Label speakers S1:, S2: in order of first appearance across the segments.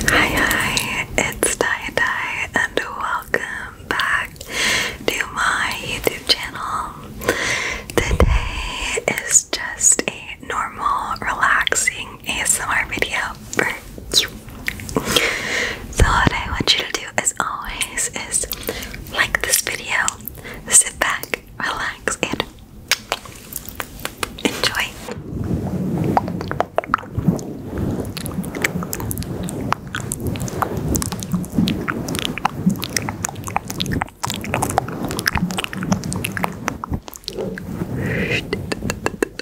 S1: Hi, hi, it's Dai Dai, and welcome back to my YouTube channel. Today is just a normal, relaxing ASMR video for you. So what I want you to do as always is like this video, sit back, relax, and enjoy.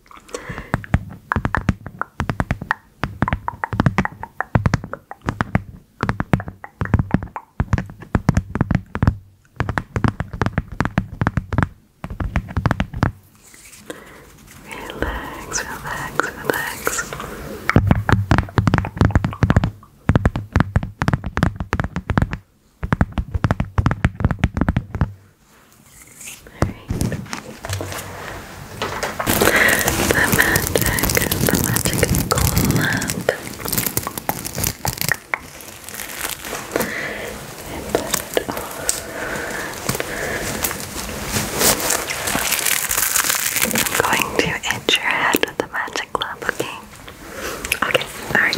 S1: Relax, relax, relax. Good. The magic, the magic club. I'm going to itch your the magic club, okay? Okay, alright.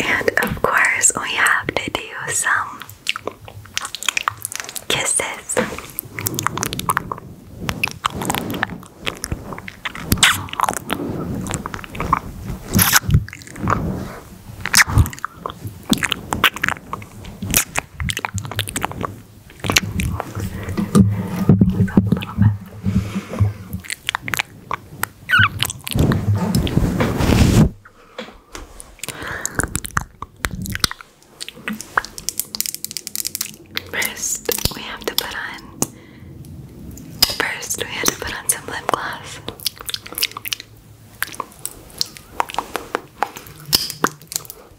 S1: And of course, we have to do some kisses. First, we have to put on. First, we have to put on some lip gloss.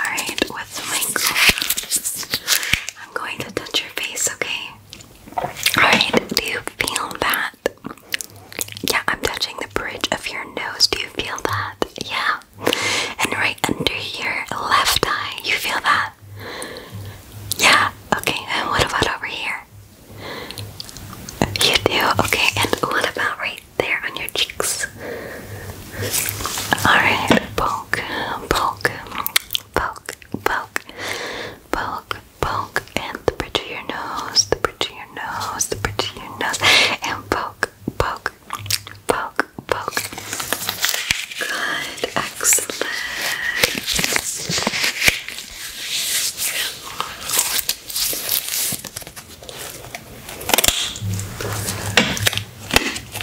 S1: Alright, with my gloves, I'm going to touch your face, okay? Alright, do you feel that? Yeah, I'm touching the bridge of your nose. Do you feel that? Yeah. And right under your left eye, you feel that? Yeah, okay. And what about over here? You do? Okay, and what about right there on your cheeks? this. Alright, poke, poke, poke, poke, poke, poke, and the bridge of your nose, the bridge of your nose, the bridge of your nose, and poke, poke, poke,
S2: poke. Good, excellent.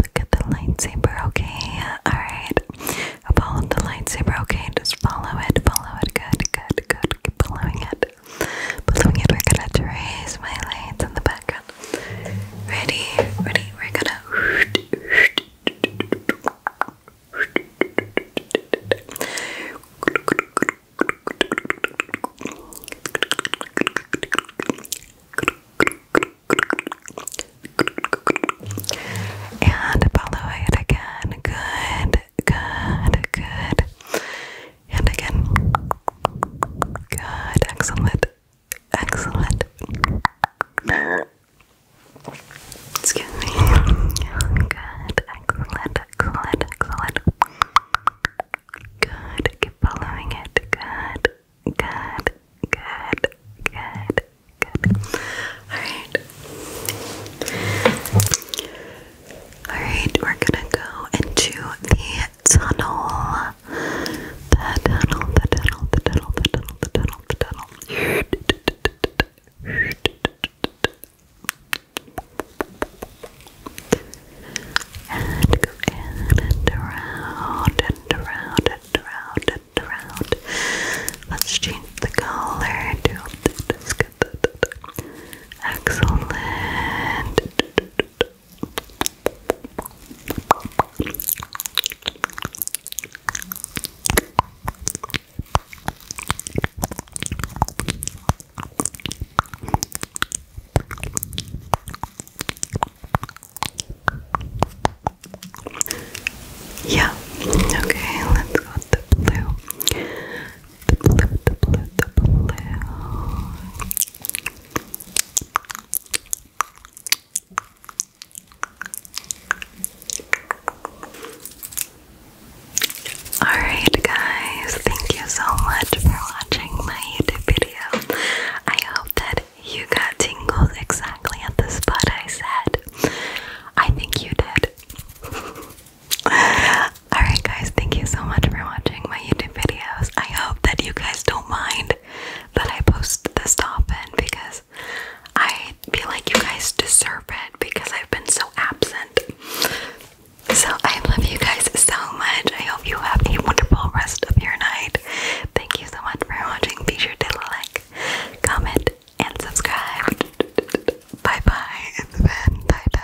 S1: Look at the lightsaber, okay? Alright. Follow the lightsaber, okay? Just follow it, follow it, good, good, good. Keep following it. Following it, we're gonna trace my lights in the background. Ready, ready, we're gonna and follow it again. Good, good, good. And again. Good, excellent, excellent. Excuse me. Good, excellent, excellent, excellent. Good, keep following it. Good, good, good, good. Alright. Alright, we're gonna go into the tunnel.
S2: The tunnel, the tunnel, the tunnel, the tunnel, the tunnel, the tunnel. And go in and around and around and around Let's change the color let's get Excellent.
S1: Yeah. Okay, let's go the blue. The blue, the blue, the blue. Alright guys, thank you so much for watching my YouTube video. I hope that you got tingles exactly at the spot I said. I think you did. Alright, guys, thank you so much for watching my YouTube videos. I hope that you guys don't mind that I post this often because I feel like you guys deserve it because I've been so absent. So, I love you guys so much. I hope you have a wonderful rest of your night. Thank you so much for watching. Be sure to like, comment, and subscribe. Bye bye, Bye bye.